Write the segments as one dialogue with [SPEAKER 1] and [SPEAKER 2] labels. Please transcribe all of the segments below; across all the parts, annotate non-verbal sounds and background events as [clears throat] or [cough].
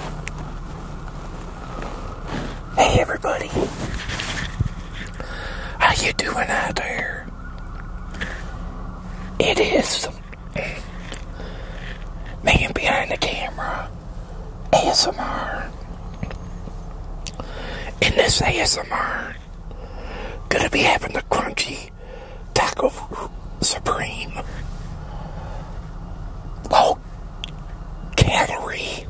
[SPEAKER 1] Hey everybody, how you doing out there? It is man behind the camera, ASMR. In this ASMR, gonna be having the crunchy taco supreme. Long oh, calorie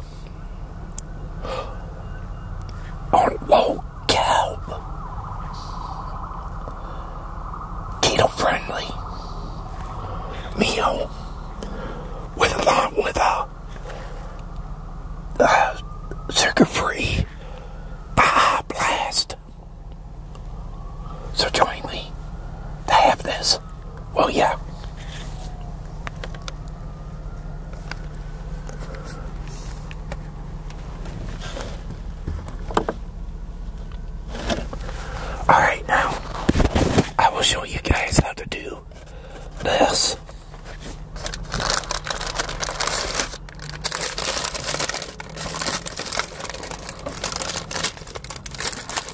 [SPEAKER 1] on low carb, keto friendly meal with a lot with a, a uh, sugar free Baja ah, Blast. So join me to have this, Well, yeah. Alright, now I will show you guys how to do this.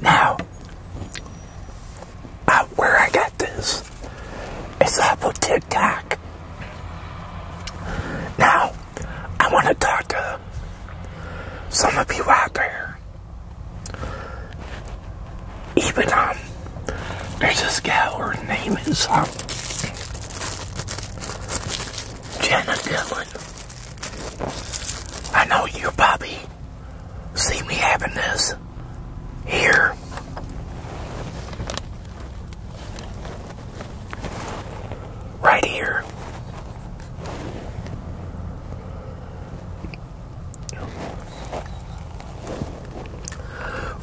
[SPEAKER 1] Now, uh, where I got this It's Apple of TikTok. Now, I want to talk to some of you out there. Even, um, there's this gal, her name is, um, Jenna Dillon. I know you Bobby. see me having this here Right here.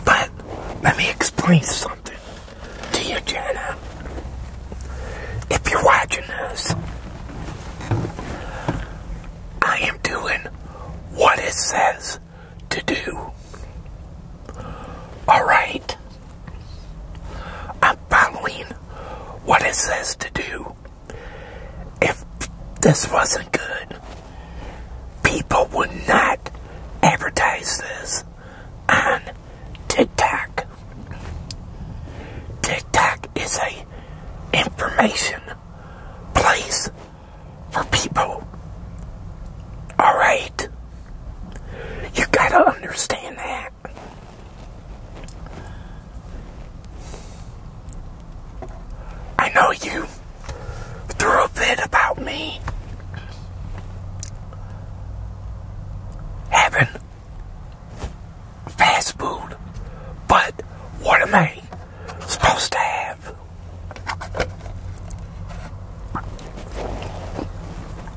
[SPEAKER 1] But let me explain something to you, Jenna. If you're watching this, I am doing what it says to do. Alright? I'm following what it says to do. If this wasn't good, people would not advertise this on TikTok. TikTok is a information place for people. Alright? You gotta understand that. I know you threw a fit about me having fast food, but what am I supposed to have?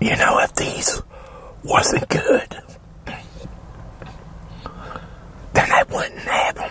[SPEAKER 1] You know, if these wasn't good, then I wouldn't have them.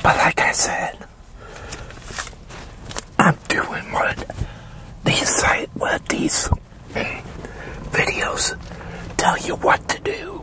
[SPEAKER 1] But like I said, I'm doing what these site what these eh, videos tell you what to do.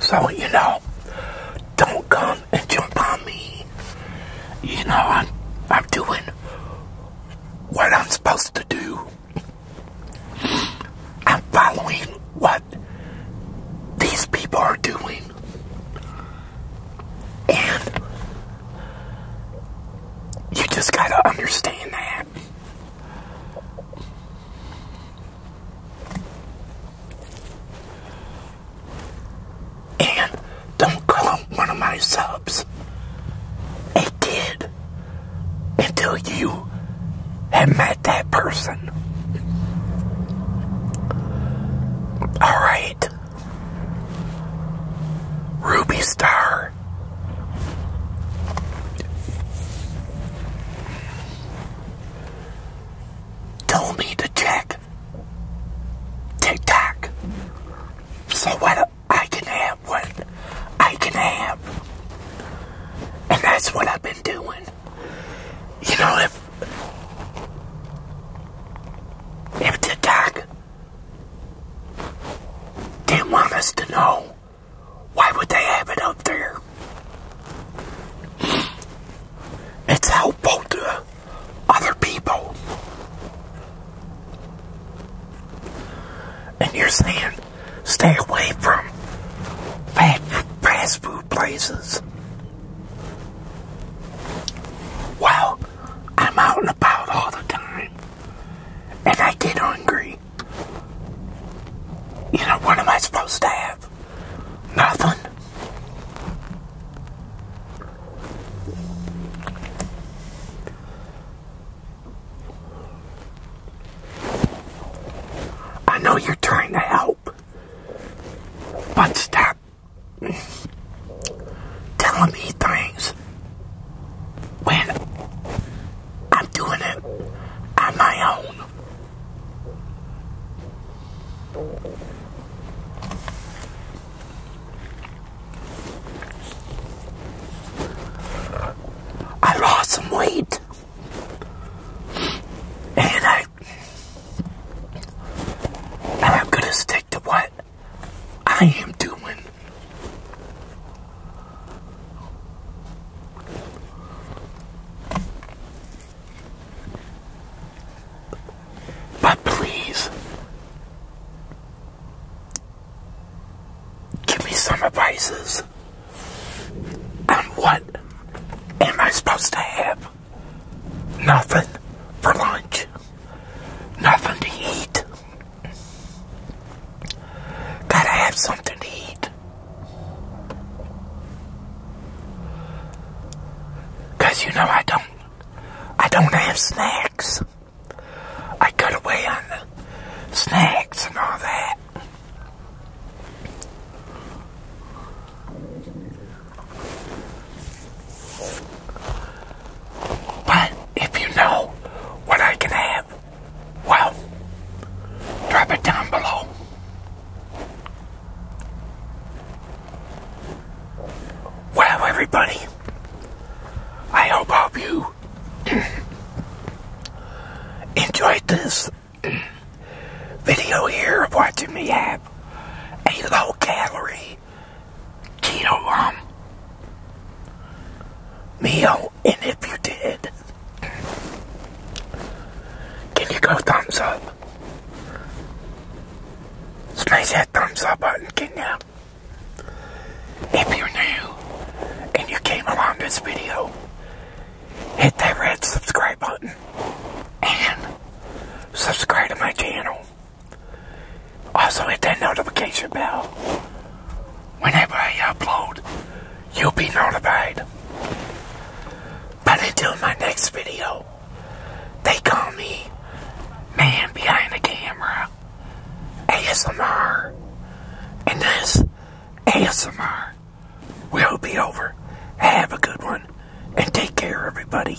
[SPEAKER 1] So, you know, don't come and jump on me. You know, I'm, I'm doing what I'm supposed to do. I'm following what these people are doing. And you just gotta understand that. And don't call one of my subs a kid until you have met that person. Alright. Ruby Star. Tell me to check TikTok so what I can have what I can have, and that's what I've been doing. You know if. If TikTok didn't want us to know why would they have it up there? It's helpful to other people. And you're saying stay away from fast food places. Well, I'm out and about all the time and I get hungry, you know, what am I supposed to have? Nothing. I know you're trying to help, but stop telling me things when I'm doing it on my own, I lost some weight and I and I'm gonna stick to what I am doing. But please give me some advices And what am I supposed to have? Nothing for lunch. Nothing to eat. Gotta have something to eat. Cause you know I don't I don't have snacks. I cut away on snacks and all that. But if you know what I can have, well, drop it down below. Well, everybody, I hope all of you [clears throat] enjoyed this [clears throat] video here of watching me have a low calorie keto um meal, and if you did, can you go thumbs up? Smash that thumbs up button, can Now, If you're new and you came around this video, hit that red subscribe button and subscribe to my channel. Also hit that notification bell. Whenever I upload, you'll be notified. But until my next video, they call me Man Behind the Camera, ASMR, and this ASMR will be over. Have a good one, and take care, everybody.